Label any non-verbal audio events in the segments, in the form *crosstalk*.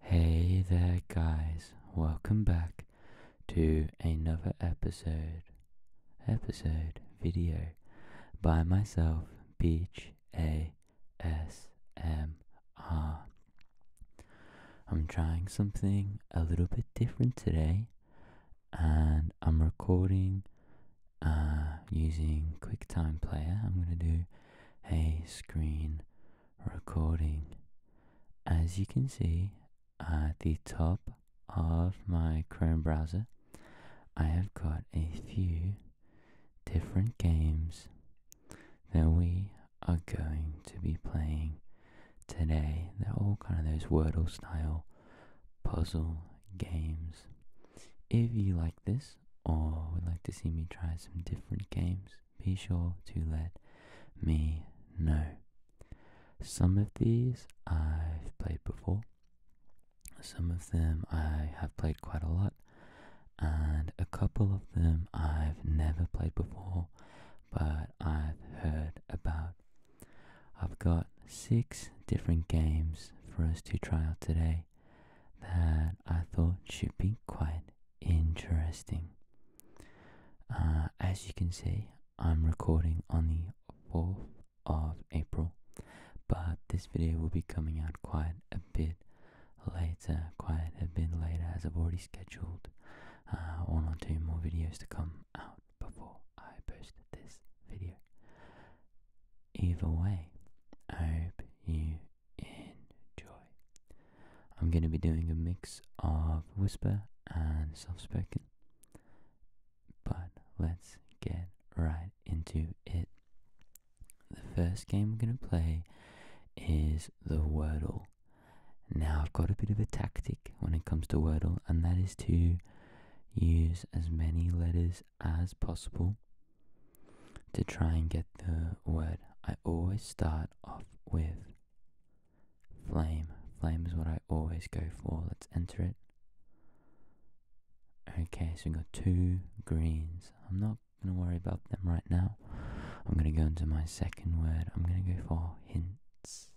Hey there, guys, welcome back to another episode, episode video by myself, Beach A S am trying something a little bit different today, and I'm recording uh, using QuickTime Player. I'm going to do a screen recording. As you can see at the top of my Chrome browser, I have got a few different games that we are going to be playing today. They're all kind of those Wordle style puzzle games. If you like this or would like to see me try some different games, be sure to let me know. Some of these I've played before, some of them I have played quite a lot, and a couple of them I've never played before but I've heard about. I've got six different games for us to try out today that I thought should be quite Interesting. Uh, as you can see, I'm recording on the 4th of April, but this video will be coming out quite a bit later, quite a bit later, as I've already scheduled uh, one or two more videos to come out before I post this video. Either way, I hope you enjoy. I'm going to be doing a mix of whisper and soft spoken, but let's get right into it. The first game we're going to play is the Wordle. Now, I've got a bit of a tactic when it comes to Wordle, and that is to use as many letters as possible to try and get the word, I always start off with flame. Flame is what I always go for. Let's enter it. Okay, so we've got two greens. I'm not going to worry about them right now. I'm going to go into my second word. I'm going to go for hints.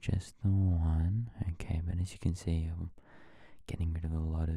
Just the one. Okay, but as you can see, I'm getting rid of a lot of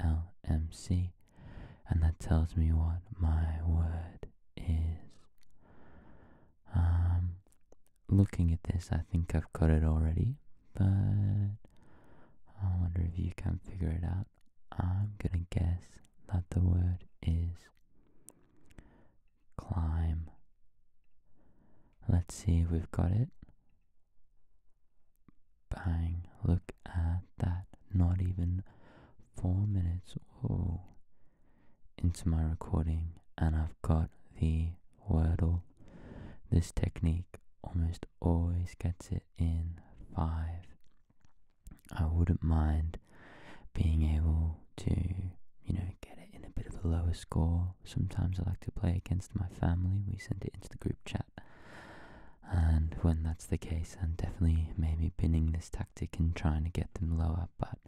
L M C, and that tells me what my word is. Um, looking at this, I think I've got it already, but I wonder if you can figure it out. I'm gonna guess that the word is climb. Let's see if we've got it. Bang, look at that. Not even four minutes. Oh, Into my recording, and I've got the wordle. This technique almost always gets it in five. I wouldn't mind being able to, you know, get it in a bit of a lower score. Sometimes I like to play against my family. We send it into the group chat. And when that's the case, I'm definitely maybe pinning this tactic and trying to get them lower, but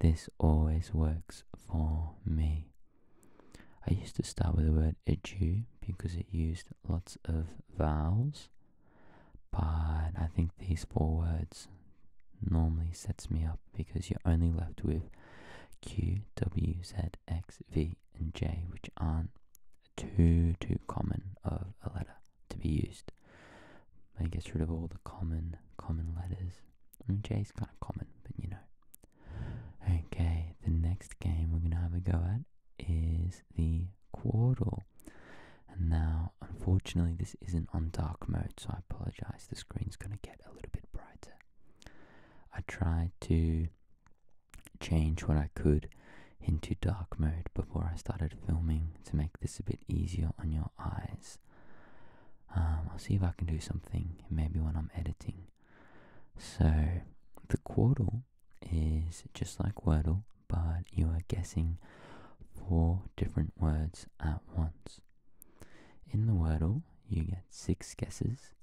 this always works for me. I used to start with the word edu because it used lots of vowels, but I think these four words normally sets me up because you're only left with Q, W, Z, X, V, and J, which aren't too, too common of a letter to be used. It gets rid of all the common, common letters. J is kind of common, but you know. Okay, the next game we're going to have a go at is the quadro. And now, unfortunately, this isn't on dark mode, so I apologize. The screen's going to get a little bit brighter. I tried to change what I could into dark mode before I started filming to make this a bit easier on your eyes. Um, I'll see if I can do something maybe when I'm editing. So, the Quordle is just like Wordle, but you are guessing four different words at once. In the Wordle, you get six guesses,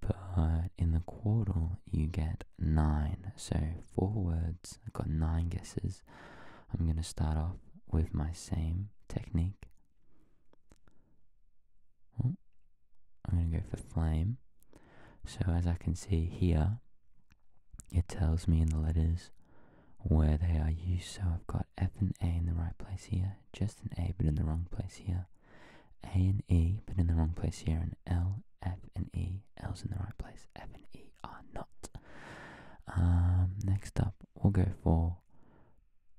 but in the quartal, you get nine. So four words, I've got nine guesses. I'm going to start off with my same technique. Oh, I'm going to go for flame. So as I can see here, it tells me in the letters where they are used. So I've got F and A in the right place here, just an A but in the wrong place here. A and E, but in the wrong place here, and L, F, and E. L's in the right place, F and E are not. Um, next up, we'll go for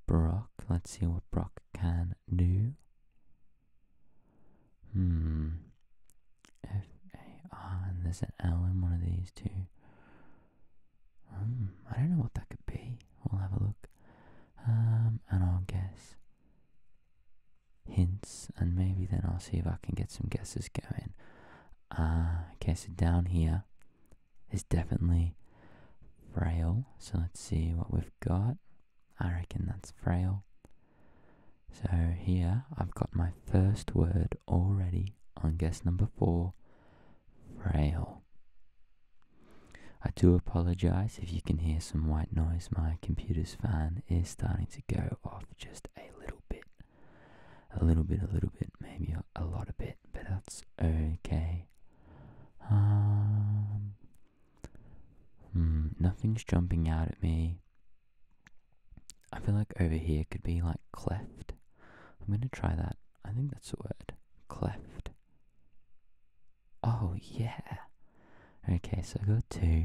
Brock. Let's see what Brock can do. Hmm. F A R, and there's an L in one of these two. Hmm. I don't know what that could be. We'll have a look. Um, and I'll guess hints, and maybe then I'll see if I can get some guesses going. Uh, okay, so down here is definitely frail. So let's see what we've got. I reckon that's frail. So here I've got my first word already on guess number four frail. I do apologise if you can hear some white noise, my computer's fan is starting to go off just a little bit. A little bit, a little bit, maybe a lot of bit, but that's okay. Um, hmm, nothing's jumping out at me. I feel like over here could be like cleft. I'm gonna try that. I think that's the word. Cleft. Oh, yeah. Okay, so I have got two.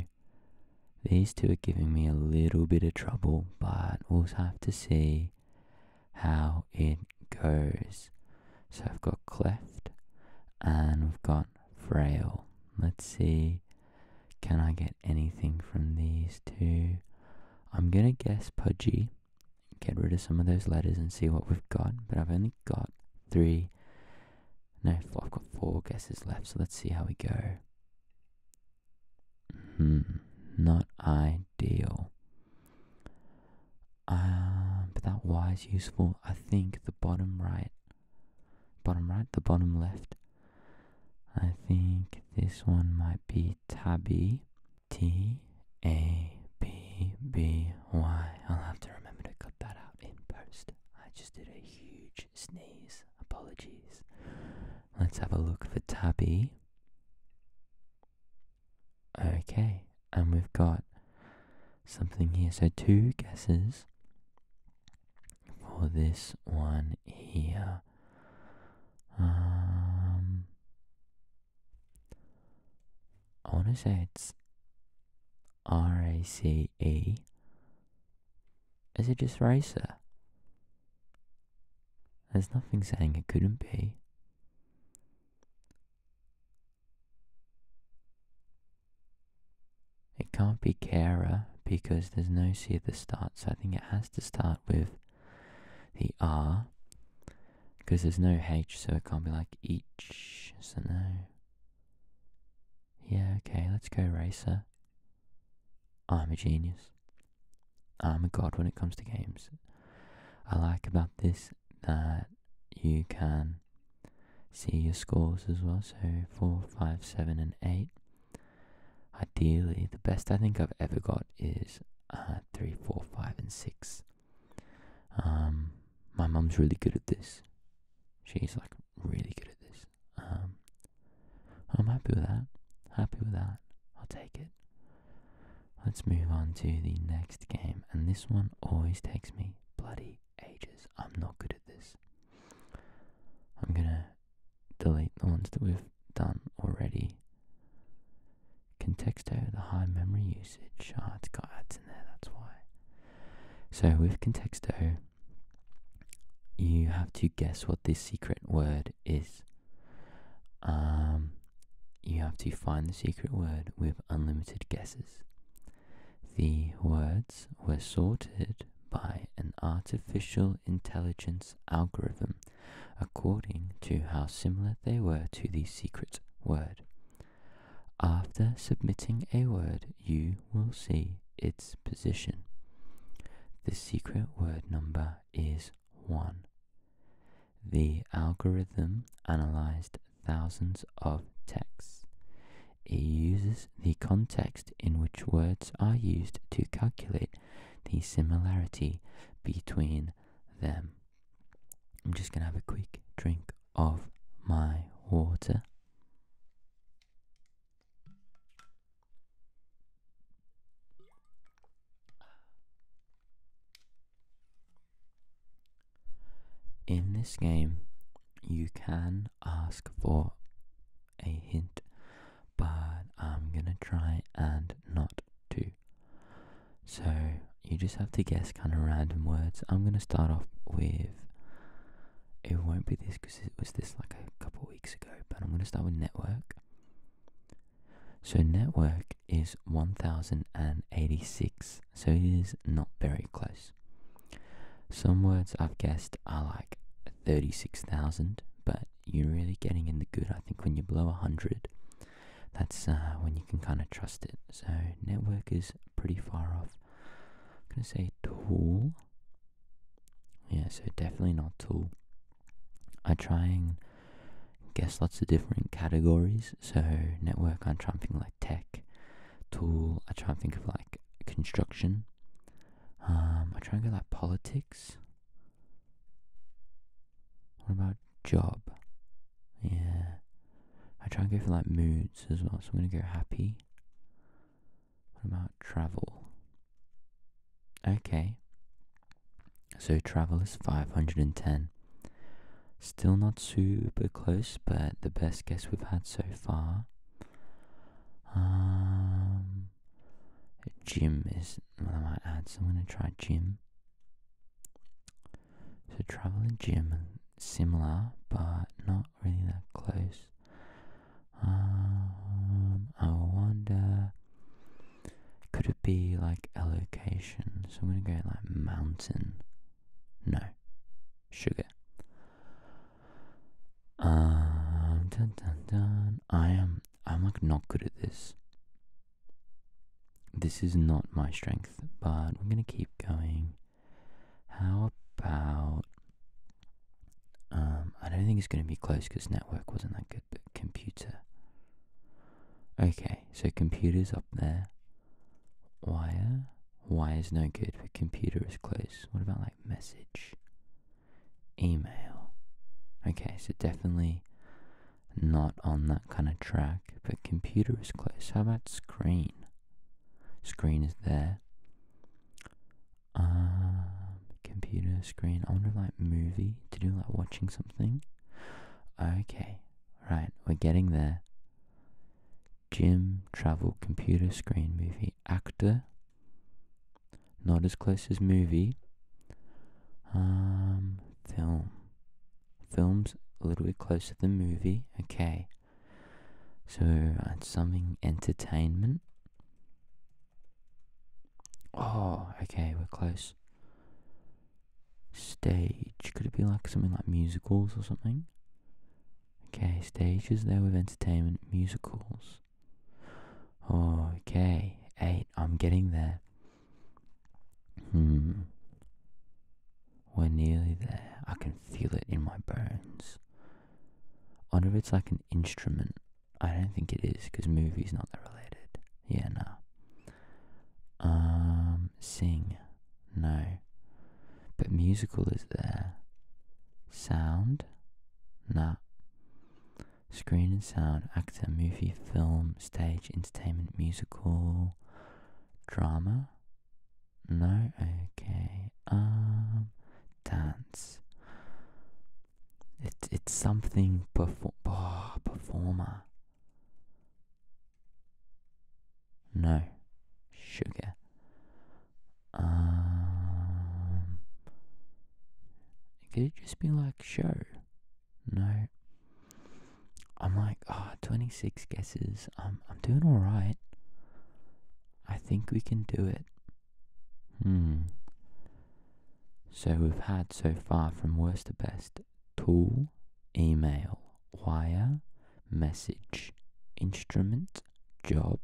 These two are giving me a little bit of trouble, but we'll have to see how it goes. So I've got cleft and i have got frail. Let's see, can I get anything from these two? I'm gonna guess pudgy, get rid of some of those letters and see what we've got, but I've only got three no, I've got four guesses left, so let's see how we go. Hmm, not ideal. Um, but that Y is useful. I think the bottom right, bottom right, the bottom left. I think this one might be tabby. T A B B Y. I'll have to remember to cut that out in post. I just did a huge sneeze. Apologies. Let's have a look for Tabby. Okay, and we've got something here. So two guesses for this one here. Um, I want to say it's R A C E. Is it just racer? There's nothing saying it couldn't be. It can't be Kara because there's no C at the start, so I think it has to start with the R because there's no H, so it can't be like each, so no. Yeah, okay, let's go racer. I'm a genius. I'm a god when it comes to games. I like about this that you can see your scores as well. So 4, 5, 7, and 8. Ideally, the best I think I've ever got is uh, 3, 4, 5, and 6. Um, my mum's really good at this. She's like really good at this. Um, I'm happy with that. Happy with that. I'll take it. Let's move on to the next game, and this one always takes me bloody ages. I'm not good at this. I'm gonna delete the ones that we've done already. Contexto, the high memory usage. Ah, it's got ads in there, that's why. So with Contexto, you have to guess what this secret word is. Um, you have to find the secret word with unlimited guesses. The words were sorted by an artificial intelligence algorithm according to how similar they were to the secret word. After submitting a word, you will see its position. The secret word number is 1. The algorithm analyzed thousands of texts. It uses the context in which words are used to calculate the similarity between them. I'm just going to have a quick drink of my water. In this game, you can ask for a hint, but I'm gonna try and not to. So you just have to guess kind of random words. I'm going to start off with. It won't be this because it was this like a couple weeks ago, but I'm going to start with network. So, network is 1086, so it is not very close. Some words I've guessed are like 36,000, but you're really getting in the good, I think, when you blow 100. That's uh, when you can kind of trust it. So, network is pretty far off. I'm going to say tool. Yeah, so definitely not tool. I try and guess lots of different categories. So network, I try and think like tech. Tool, I try and think of like construction. Um, I try and go like politics. What about job? Yeah. I try and go for like moods as well. So I'm going to go happy. What about travel? Okay. So travel is 510. Still not super close, but the best guess we've had so far. Um, gym is. Well, I might add, so I'm going to try gym. So traveling and gym similar, but not really that close. Um, I wonder, could it be like a location? So I'm gonna go like mountain. No, sugar. Um, dun dun dun. I am. I'm like not good at this. This is not my strength, but I'm gonna keep going. How about. Um, I don't think it's going to be close because network wasn't that good, but computer. Okay, so computer's up there. Wire. wire is no good, but computer is close. What about like message? Email. Okay, so definitely not on that kind of track, but computer is close. How about screen? Screen is there. Um, computer screen. I wonder if like movie to do like watching something. Okay, right, we're getting there. Gym, travel, computer screen, movie, actor. Not as close as movie. Um, film films a little bit close to the movie. Okay. So it's uh, something entertainment. Oh, okay, we're close. Stage. Could it be like something like musicals or something? Okay, stage is there with entertainment, musicals. okay, eight. I'm getting there. Hmm. We're nearly there. I can feel it in my bones. I wonder if it's like an instrument. I don't think it is, because movie's not that related. Yeah, no. Um, sing. No. But musical is there. Sound? Nah. Screen and sound, actor, movie, film, stage, entertainment, musical, drama? No, okay. Um, dance. It's it's something perform oh, performer. No, sugar. Um, could it just be like show? No. I'm like, ah, 26 guesses. I'm I'm doing all right. I think we can do it. Hmm. So we've had so far from worst to best tool, email, wire, message, instrument, job,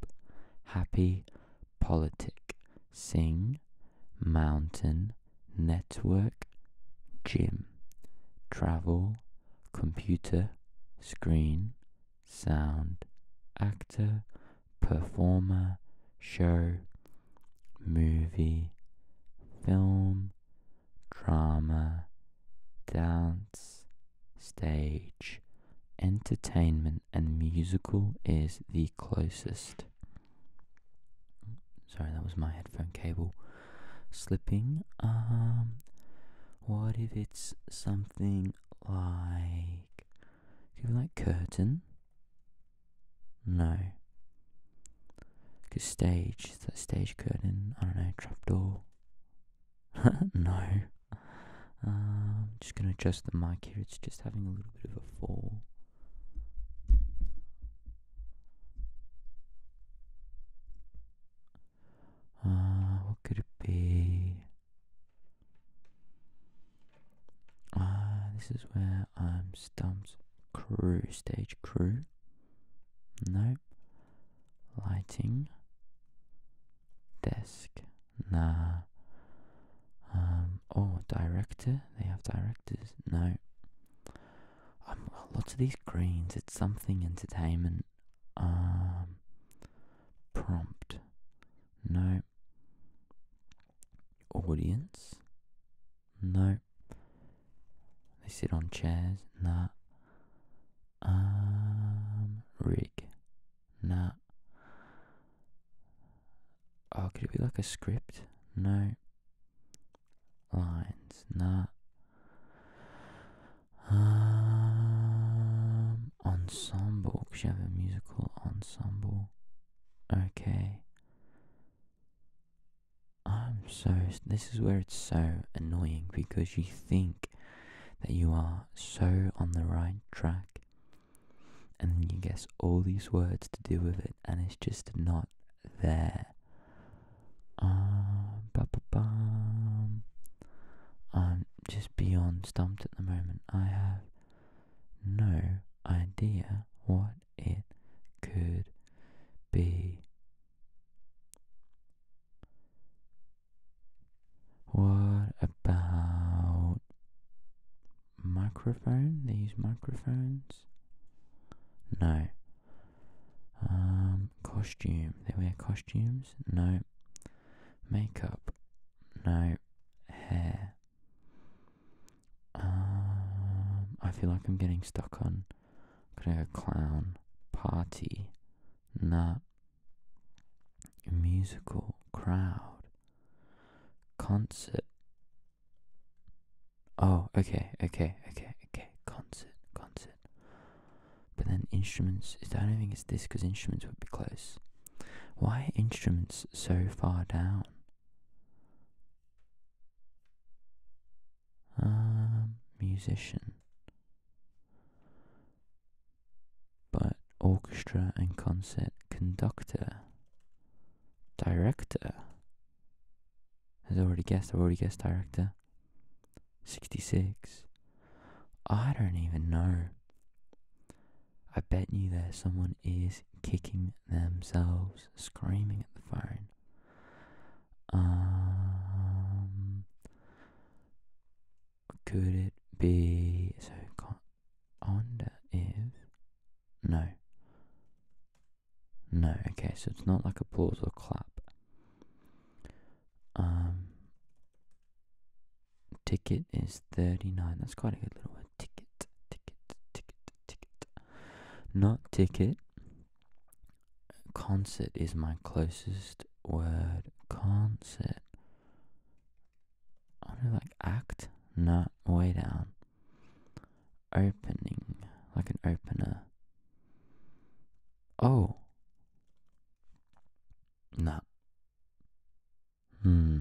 happy, politic, sing, mountain, network, gym, travel, computer, screen, sound, actor, performer, show, movie, film, drama, dance, stage, entertainment, and musical is the closest. Sorry, that was my headphone cable slipping. Um, what if it's something like, could like curtain? No. Cause stage, is stage curtain? I don't know, trapdoor. *laughs* no. Um, just gonna adjust the mic here. It's just having a little bit of a fall. Uh, what could it be? Ah, this is where I'm stumped. Crew, stage crew. No. Lighting. Desk. Nah. Um, oh, director. They have directors. No. Um, lots of these greens, it's something entertainment um, prompt. No. Audience? No. They sit on chairs? Nah. Um, rig? Nah. Oh, could it be like a script? No. Lines? Nah. Um, ensemble. Because you have a musical ensemble. Okay. I'm so. This is where it's so annoying because you think that you are so on the right track and you guess all these words to do with it and it's just not there. Um, I'm just beyond stumped at the moment. I have no idea what it could be. What about microphone? These microphones? No, um, costume. They wear costumes? No. Makeup? No. Hair. Um, I feel like I'm getting stuck on. i gonna clown. Party. Nah. Musical. Crowd. Concert. Oh, okay, okay, okay, okay. Concert, concert. But then instruments. I don't think it's this because instruments would be close. Why are instruments so far down? Um, musician. But orchestra and concert conductor. Director. I've already guessed, I've already guessed director. 66. I don't even know. I bet you that someone is kicking themselves, screaming at the phone. Um, could it be so? Con- Onda no, no, okay, so it's not like a pause or clap. Um, ticket is 39. That's quite a good little word. Ticket, ticket, ticket, ticket. Not ticket. Concert is my closest word. Concert. I do like act? Not way down. Opening, like an opener. Oh. Na. Hmm.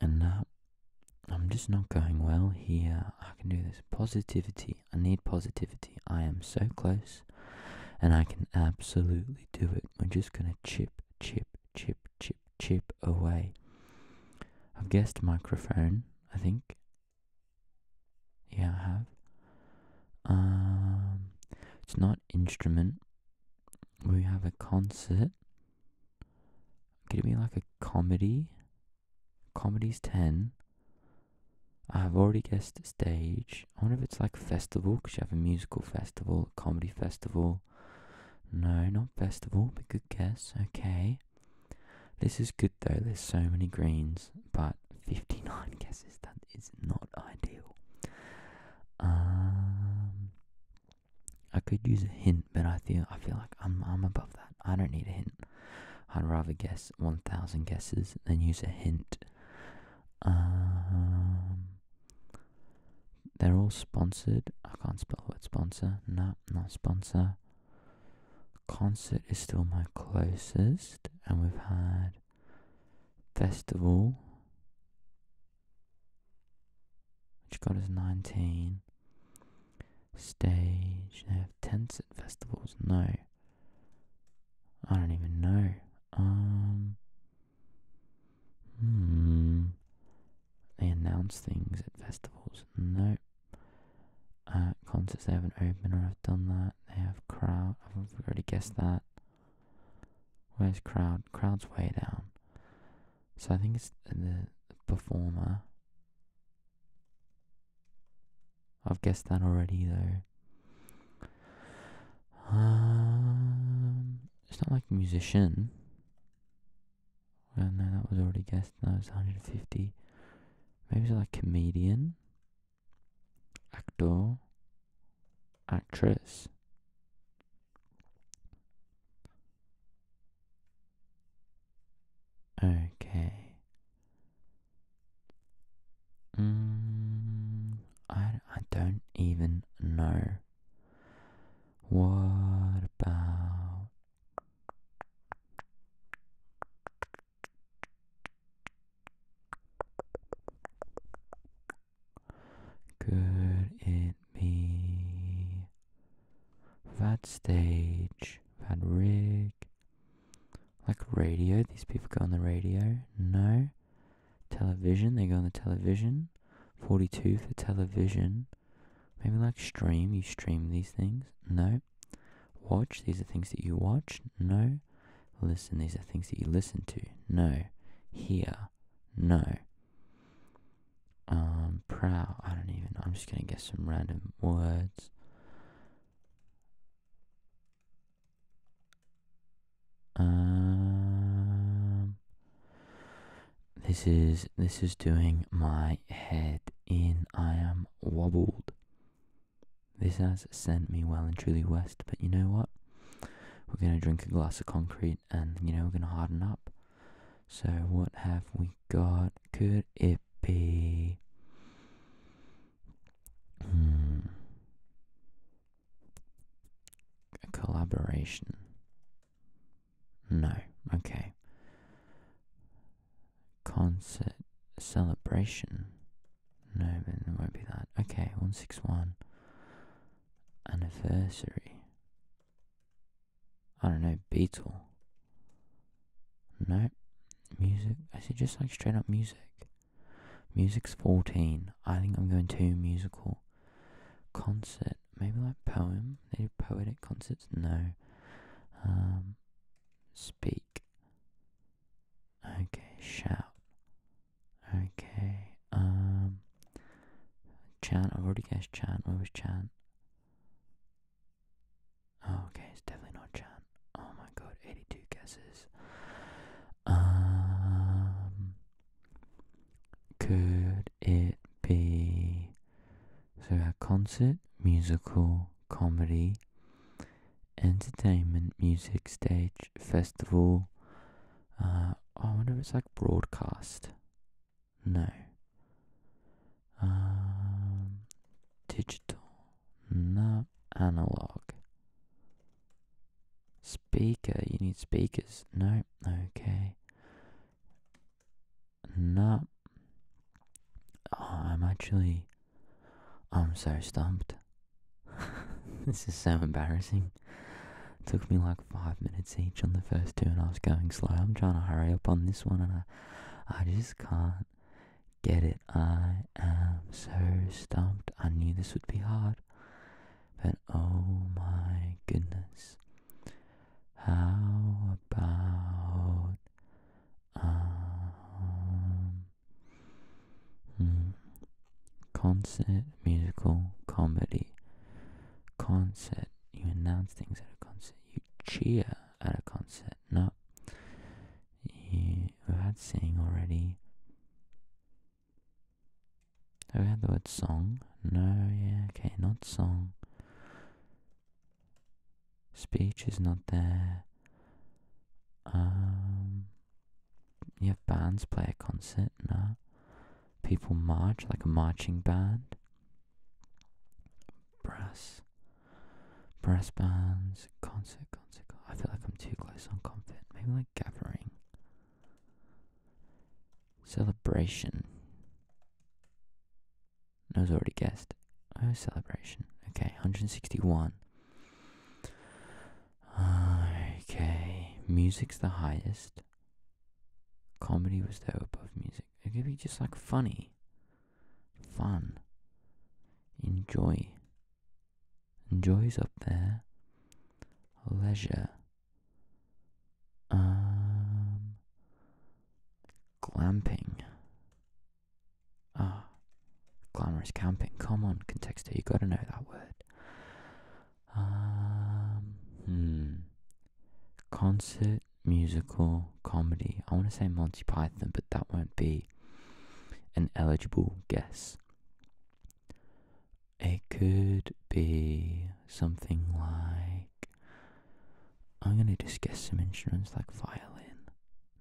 And now, I'm just not going well here. I can do this. Positivity. I need positivity. I am so close. And I can absolutely do it. I'm just going to chip, chip, chip, chip, chip away. I've guessed microphone, I think. Yeah, I have. Um, it's not instrument. We have a concert. Could it be like a comedy? Comedy's 10. I've already guessed stage. I wonder if it's like festival, because you have a musical festival, comedy festival. No, not festival, but good guess. Okay. This is good though, there's so many greens, but 59 *laughs* guesses, that is not ideal. Um, I could use a hint, but I feel I feel like I'm above that. I don't need a hint. I'd rather guess 1,000 guesses than use a hint. Um, they're all sponsored. I can't spell what sponsor. No, not sponsor concert is still my closest, and we've had festival, which got us 19. Stage, they have tents at festivals. No, I don't even know. Um, hmm, they announce things at festivals. No. Uh, concerts they have not opened or I've done that. They have crowd. I've already guessed that. Where's crowd? Crowd's way down. So I think it's the performer. I've guessed that already though. Um, it's not like musician. Well, no, that was already guessed. That was 150. Maybe it's like comedian, actor, actress. Okay. Mm, I, I don't even know. What about could it be that stage, that rig, like radio? These people go on the radio. No, television. They go on the television. Forty-two for television. Maybe like stream, you stream these things? No. Watch, these are things that you watch? No. Listen, these are things that you listen to? No. Hear? No. Um, proud, I don't even, I'm just gonna guess some random words. Um, this is this is doing my head in. I am wobbled. This has sent me well and truly west, but you know what? We're gonna drink a glass of concrete and you know we're gonna harden up. So what have we got? Could it be hmm. a collaboration? No. Okay. Concert celebration. No, but it won't be that. Okay, 161. Anniversary. I don't know, Beetle. No. Music. I it just like straight up music? Music's 14. I think I'm going to musical. Concert. Maybe like poem? They do poetic concerts? No. Um, speak. Okay, shout. Okay, um, chant. I've already guessed chant. What was chant? Oh, okay, it's definitely not chant. Oh my god, 82 guesses. Um, could it be so a concert, musical, comedy, entertainment, music, stage, festival. Uh, I wonder if it's like broadcast. No. Um, digital. No. Analog. Speaker. You need speakers. No. Okay not. Uh, I'm actually. I'm so stumped. *laughs* this is so embarrassing. took me like five minutes each on the first two, and I was going slow. I'm trying to hurry up on this one, and I, I just can't get it. I am so stumped. I knew this would be hard, but oh my goodness. How about um, hmm, concert, musical, comedy? Concert. You announce things at a concert. You cheer at a concert. No. we've had singing already. we had the word song? No, yeah, okay, not song. Speech is not there. Um, you have bands play a concert, no. People march, like a marching band. Brass. Brass bands, concert, concert, concert. I feel like I'm too close on concert. Maybe like gathering. Celebration. I was already guessed. Oh, celebration. Okay, 161. okay, music's the highest. Comedy was there above music. It could be just like funny, fun, enjoy. Enjoy's up there. Leisure um, glamping. Ah, glamorous camping. Come on, Contexto, you got to know that word. Um, hmm. Concert, musical, comedy. I want to say Monty Python, but that won't be an eligible guess. It could be something like. I'm gonna discuss some instruments like violin.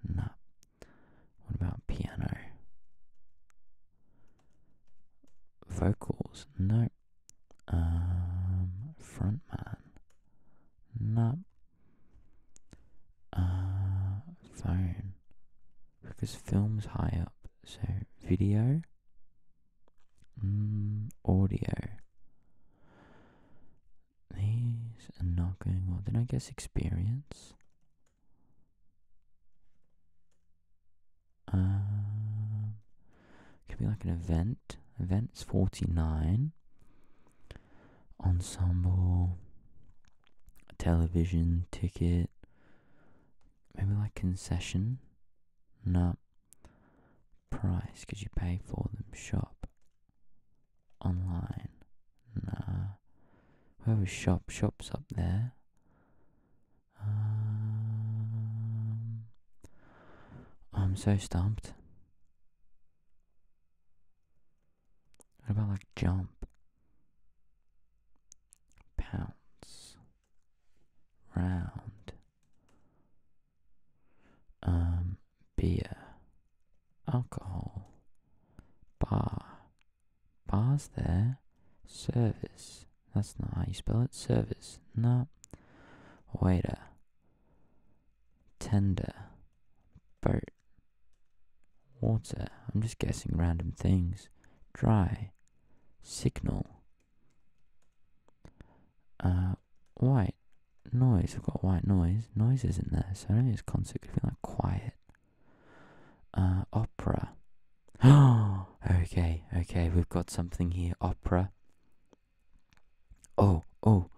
Nah. What about piano? Vocals? No. Um, frontman? Nah. Uh, phone. Because film's high up, so video? Mm, audio. These are not going well. Then I guess experience. Um, could be like an event. Events 49. Ensemble. Television ticket. Maybe like concession. No price because you pay for them. Shop online. Nah. Whoever shop shops up there. Um, I'm so stumped. What about like jump? Pounce. Round. Um, beer, alcohol, bar, bars there, service. That's not how you spell it. Service, no. Waiter, tender, boat, water. I'm just guessing random things. Dry, signal, uh, white noise. we have got white noise. Noise isn't there, so I don't think it's concert. Could be like quiet. Uh, opera. Oh, *gasps* okay, okay. We've got something here. Opera. Oh, oh.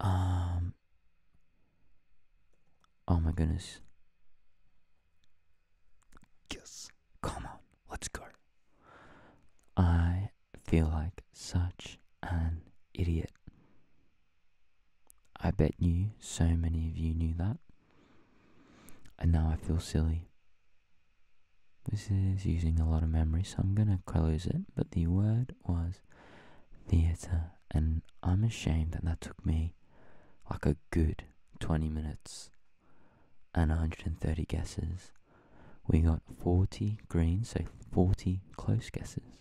Um. Oh my goodness. Yes. Come on. Let's go. I feel like such an idiot. I bet you so many of you knew that. And now I feel silly. This is using a lot of memory, so I'm gonna close it. But the word was theatre, and I'm ashamed that that took me like a good 20 minutes and 130 guesses, we got 40 greens, so 40 close guesses,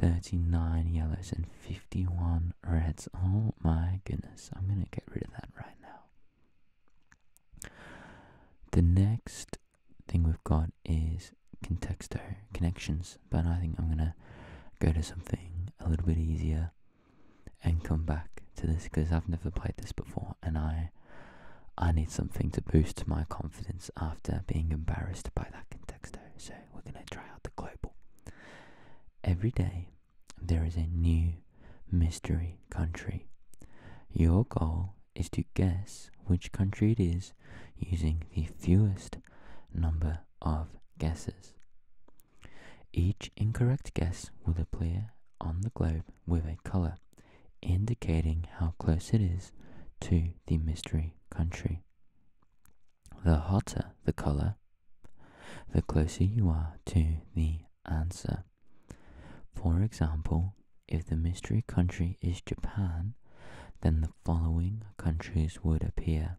39 yellows, and 51 reds. Oh my goodness, I'm going to get rid of that right now. The next thing we've got is contexto connections, but I think I'm going to go to something a little bit easier and come back to this because I've never played this before and I I need something to boost my confidence after being embarrassed by that contexto. So we're going to try out the global. Every day there is a new mystery country. Your goal is to guess which country it is using the fewest number of guesses. Each incorrect guess will appear on the globe with a color, indicating how close it is to the mystery country. The hotter the color, the closer you are to the answer. For example, if the mystery country is Japan, then the following countries would appear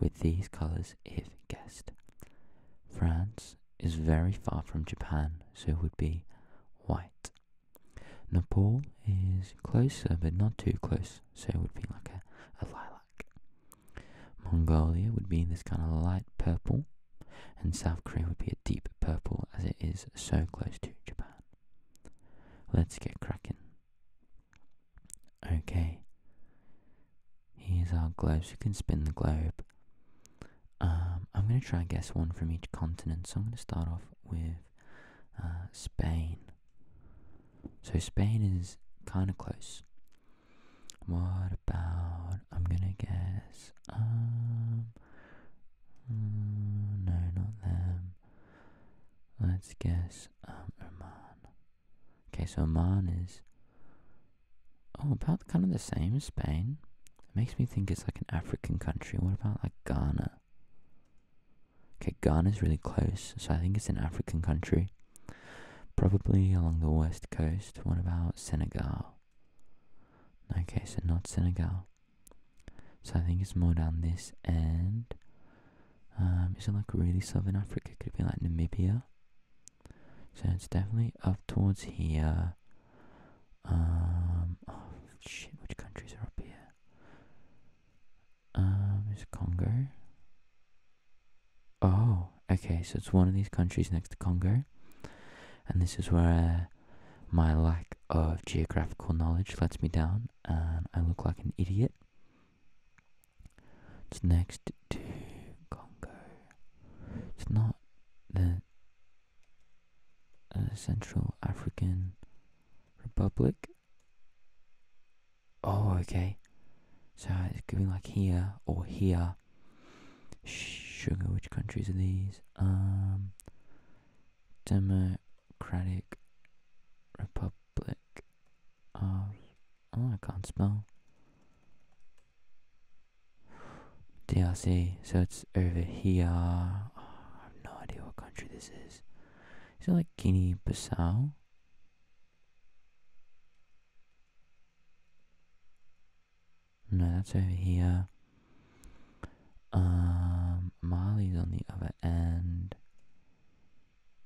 with these colors if guessed France, is very far from Japan, so it would be white. Nepal is closer, but not too close, so it would be like a, lilac. Mongolia would be this kind of light purple, and South Korea would be a deep purple as it is so close to Japan. Let's get cracking. Okay, here's our globe, you can spin the globe um, I'm going to try and guess one from each continent. So I'm going to start off with uh, Spain. So Spain is kind of close. What about? I'm going to guess. Um, mm, no, not them. Let's guess um, Oman. Okay, so Oman is Oh, about kind of the same Spain. makes me think it's like an African country. What about like Ghana? Okay, Ghana's really close, so I think it's an African country. Probably along the west coast. What about Senegal? Okay, so not Senegal. So I think it's more down this end. Um, is it like really southern Africa? Could it be like Namibia? So it's definitely up towards here. Um, oh, shit, which countries are up here? Um, is Congo? Oh, okay, so it's one of these countries next to Congo. And this is where my lack of geographical knowledge lets me down and I look like an idiot. It's next to Congo. It's not the uh, Central African Republic. Oh, okay. So it's giving like here or here. Sugar, which countries are these? Um, Democratic Republic of. Oh, I can't spell. DRC. So it's over here. I have no idea what country this is. Is it like Guinea Bissau? No, that's over here. Um, Mali's on the other end.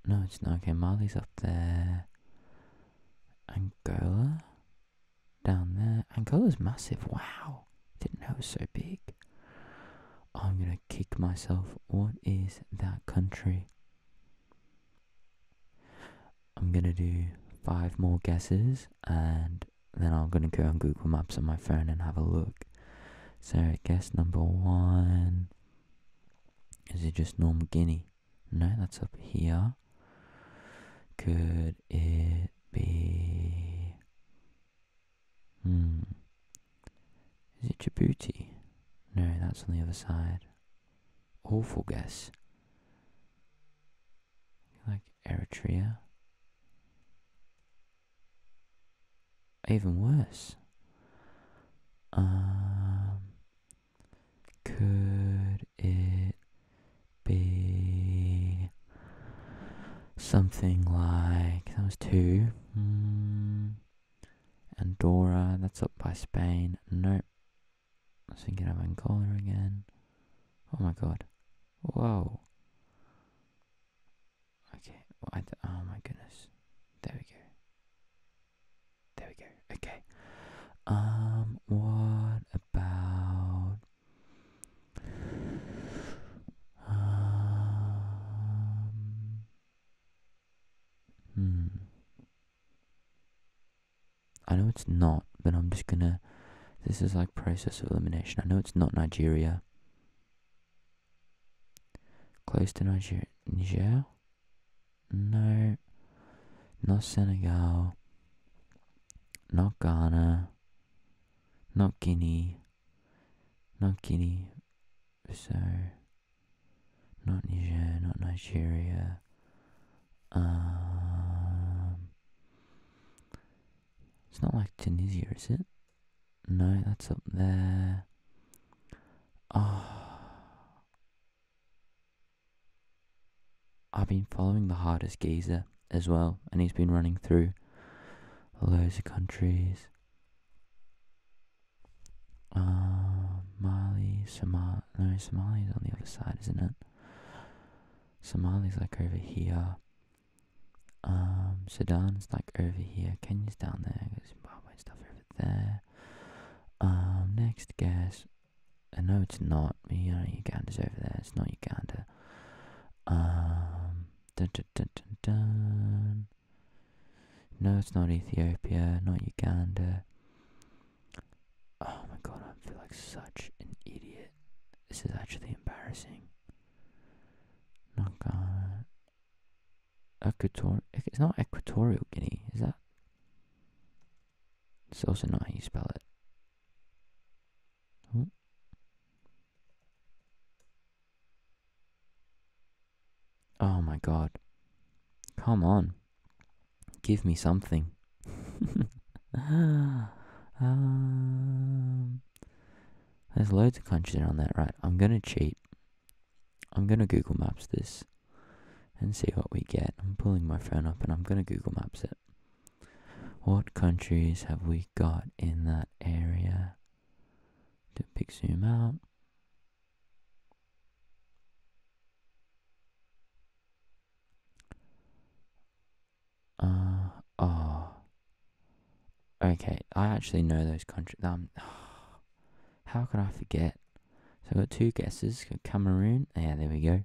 No, it's not. Okay, Mali's up there. Angola? down there. is massive. Wow. Didn't know it was so big. I'm going to kick myself. What is that country? I'm going to do five more guesses and then I'm going to go on Google Maps on my phone and have a look. So, guess number one. Is it just Norm Guinea? No, that's up here. Could it be? Hmm. Is it Djibouti? No, that's on the other side. Awful guess. Like Eritrea. Even worse. Um, could it be something like that was two. Mm. Andorra, that's up by Spain. Nope. I was thinking of Angola again. Oh my god. Whoa. Okay. Well, oh my goodness. There we go. There we go. Okay. Um, what about um, hmm. I know it's not, but I'm just gonna. This is like process of elimination. I know it's not Nigeria. Close to Nigeria. Niger? No. Not Senegal not Ghana, not Guinea, not Guinea So. not Niger, not Nigeria. Um, it's not like Tunisia, is it? No, that's up there. Oh, I've been following the hardest geezer as well, and he's been running through loads of countries. Uh, Mali, Somalia. No, Somalia's on the other side, isn't it? Somalia's like over here. Um, Sudan's like over here. Kenya's down there. Zimbabwe stuff over there. Um, next guess. No, it's not you know, Uganda's over there, it's not Uganda. Um, no, it's not Ethiopia, not Uganda. Oh my god, I feel like such an idiot. This is actually embarrassing. Not Ghana. Equator it's not Equatorial Guinea, is that? It's also not how you spell it. Oh my god. Come on. Give me something. *laughs* um, there's loads of countries around that, right? I'm gonna cheat. I'm gonna Google Maps this and see what we get. I'm pulling my phone up and I'm gonna Google Maps it. What countries have we got in that area? To pick zoom out. Uh, oh. Okay, I actually know those countries. Um, *sighs* how could I forget? So I got two guesses. Cameroon. Yeah, there we go.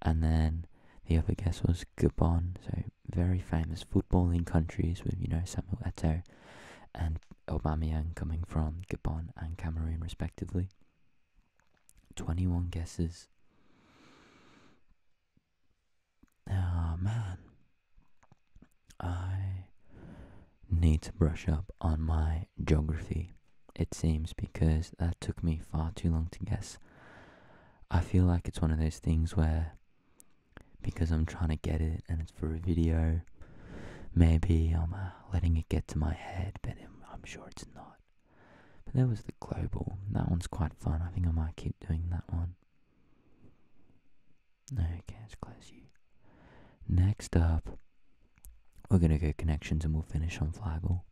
And then the other guess was Gabon, so very famous footballing countries with, you know, Samuel Eto'o and Aubameyang coming from Gabon and Cameroon respectively. 21 guesses. Oh man. I need to brush up on my geography it seems, because that took me far too long to guess. I feel like it's one of those things where, because I'm trying to get it and it's for a video, maybe I'm uh, letting it get to my head, but I'm, sure it's not. But there was the global. That one's quite fun. I think I might keep doing that one. okay, let's close you. Next up, we're going to go connections and we'll finish on Flaggle.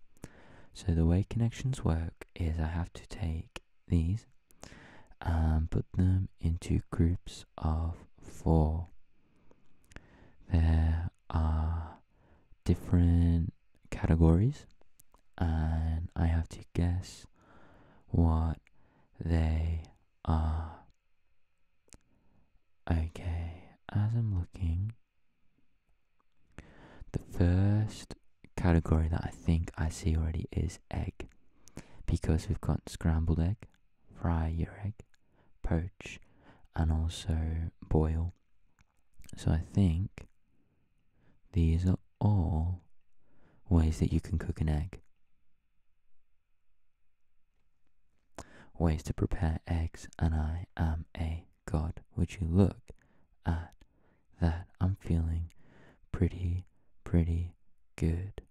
So the way connections work is I have to take these and put them into groups of four. There are different categories and I have to guess what they are. Okay, as I'm looking, the first category that I think I see already is egg, because we've got scrambled egg, fry your egg, poach, and also boil. So I think these are all ways that you can cook an egg. Ways to prepare eggs, and I am a God, would you look at that? I'm feeling pretty, pretty good.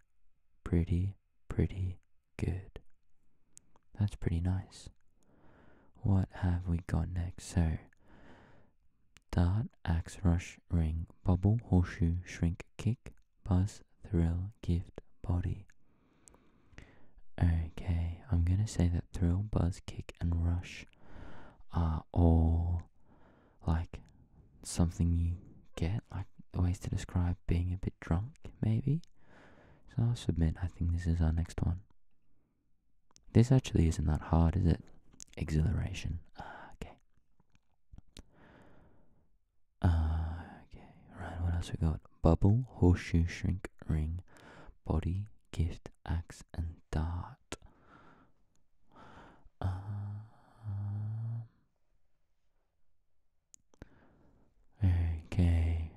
Pretty, pretty good. That's pretty nice. What have we got next? So, dart, axe, rush, ring, bubble, horseshoe, shrink, kick, buzz, thrill, gift, body. Okay, I'm gonna say that thrill, buzz, kick, and rush are all like something you get, like ways to describe being a bit drunk, maybe. So I'll submit, I think this is our next one. This actually isn't that hard, is it? Exhilaration. Ah, okay. Uh, okay, right, what else we got? Bubble, horseshoe, shrink, ring, body, gift, axe, and dart. Um, okay.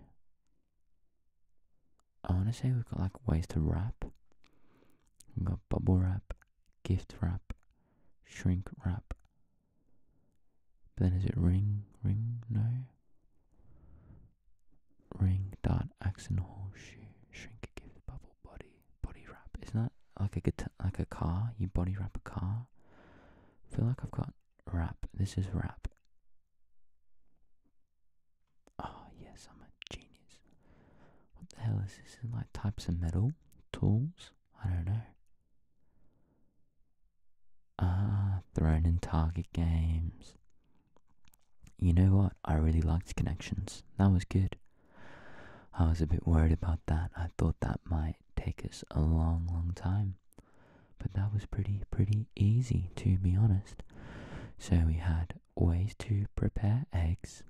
I want to say we've got like ways to wrap. We've got bubble wrap, gift wrap, shrink wrap. But then is it ring? Ring? No. Ring dot axon horseshoe shrink gift bubble body body wrap. Isn't that like a like a car? You body wrap a car. feel like I've got wrap. This is wrap. Oh yes, I'm a genius. What the hell is this? like types of metal tools? I don't know. Ah, thrown in target games. You know what? I really liked Connections. That was good. I was a bit worried about that. I thought that might take us a long, long time. But that was pretty, pretty easy, to be honest. So we had ways to prepare eggs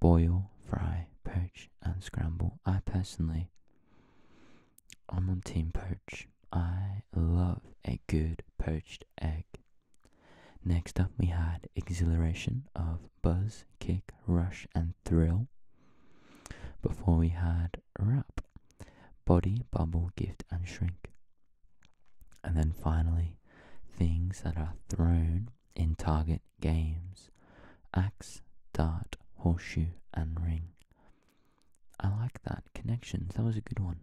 boil, fry, poach, and scramble. I personally I'm on Team Perch. I love a good poached egg. Next up, we had exhilaration of buzz, kick, rush, and thrill. Before we had wrap, body, bubble, gift, and shrink. And then finally, things that are thrown in target games axe, dart, horseshoe, and ring. I like that. Connections, that was a good one.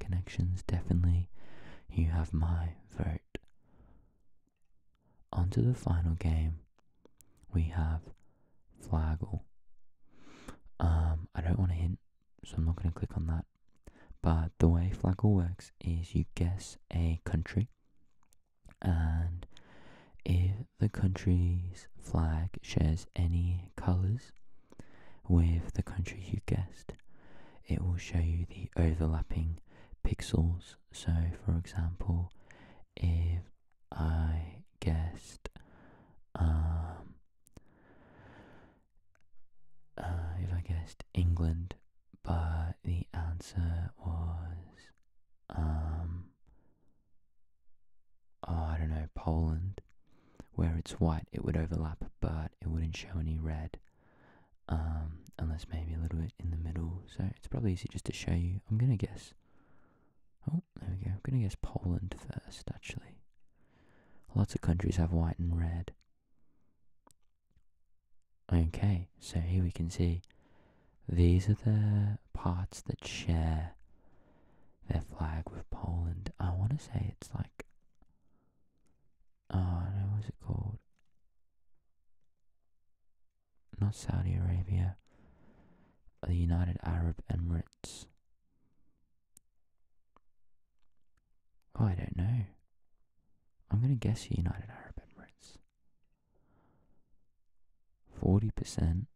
Connections, definitely. You have my vote. On to the final game. We have Flaggle. Um, I don't want to hint, so I'm not going to click on that. But the way Flaggle works is you guess a country, and if the country's flag shares any colors with the country you guessed, it will show you the overlapping pixels. So, for example, if I guessed, um, uh, if I guessed England, but the answer was um, oh, I don't know, Poland, where it's white, it would overlap, but it wouldn't show any red, um, unless maybe a little bit in the middle. So it's probably easy just to show you. I'm gonna guess. Oh, there we go. I'm gonna guess Poland first, actually. Lots of countries have white and red. Okay, so here we can see these are the parts that share their flag with Poland. I want to say it's like, oh no, what's it called? Not Saudi Arabia, the United Arab Emirates. Oh, I don't know. I'm gonna guess United Arab Emirates. Forty percent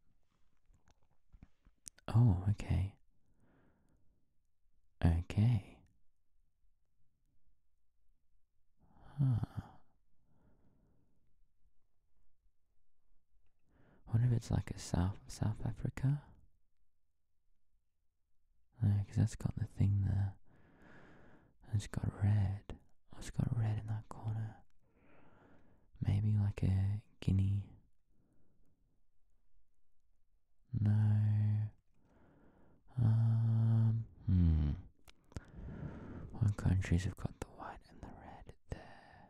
Oh, okay. Okay. Huh. I wonder if it's like a South South Africa. No, that's got the thing there. it's got red. Oh, it's got red in that corner. Maybe like a Guinea no. Um, hmm. What countries have got the white and the red there?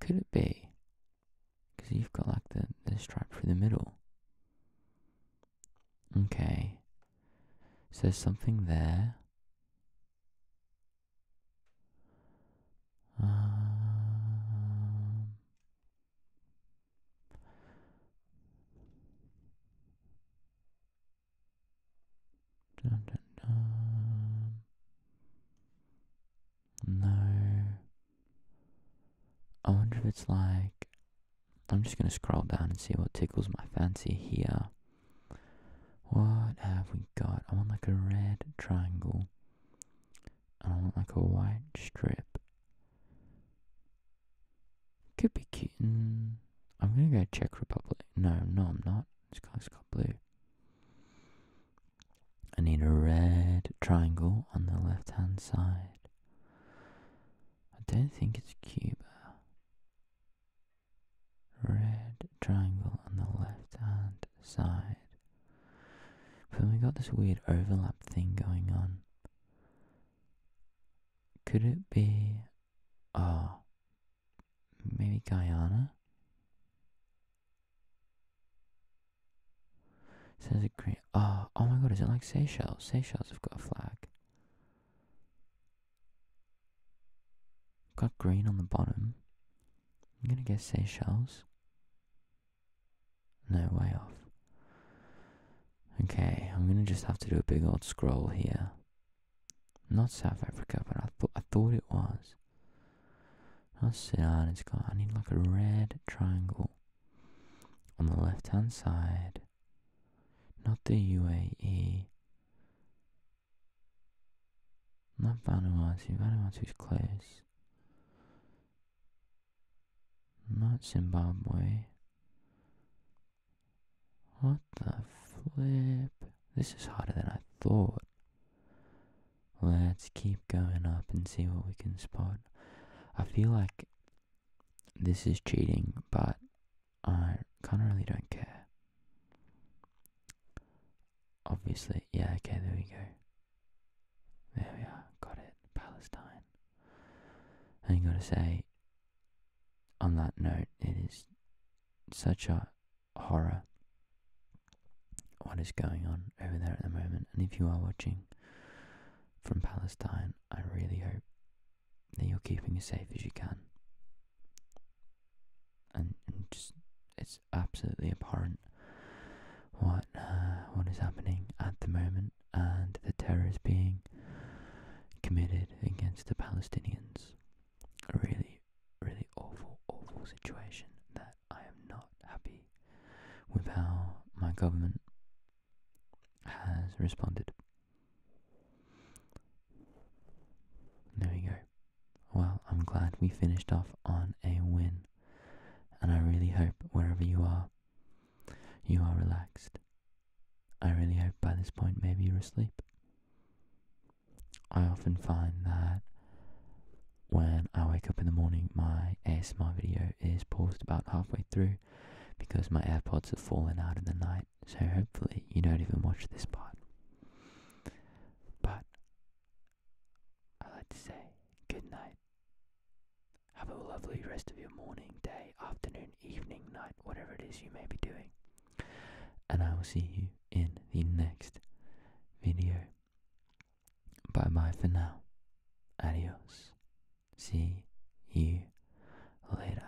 Could it be? Because you've got like the, the stripe through the middle. Okay. So there's something there. Um, no. I wonder if it's like. I'm just gonna scroll down and see what tickles my fancy here. What have we got? I want like a red triangle. I want like a white strip. Could be cute. Mm, I'm gonna go Czech Republic. No, no, I'm not. This guy's got blue. I need a red triangle on the left hand side. I don't think it's Cuba red triangle on the left hand side. But then we got this weird overlap thing going on. Could it be. Oh. Maybe Guyana? It says green. Oh, oh my god, is it like Seychelles? Seychelles have got a flag. Got green on the bottom. I'm gonna guess Seychelles. No, way off. Okay, I'm gonna just have to do a big old scroll here. Not South Africa, but I, thought I thought it was. Not Sudan, it's got. I need like a red triangle on the left hand side. Not the UAE. 난 Vanuatu. Vanuatu is close. Not Zimbabwe. What the flip? This is harder than I thought. Let's keep going up and see what we can spot. I feel like this is cheating, but I kind of really don't care. Obviously, yeah, okay, there we go. There we are, got it, Palestine. I you gotta say, on that note, it is such a horror what is going on over there at the moment. And if you are watching from Palestine, I really hope that you're keeping as safe as you can and, just it's absolutely abhorrent what uh, what is happening at the moment and the terror being committed against the Palestinians. A really, really awful, awful situation that I am not happy with how my government has responded. There we go. Well, I'm glad we finished off on a win, and I really hope wherever you are, you are relaxed. I really hope by this point maybe you're asleep. I often find that when I wake up in the morning, my ASMR video is paused about halfway through because my AirPods have fallen out in the night so hopefully you don't even watch this part. But I'd like to say good night. Have a lovely rest of your morning, day, afternoon, evening, night, whatever it is you may be doing. And I will see you in the next video. Bye bye for now. Adios. See you later.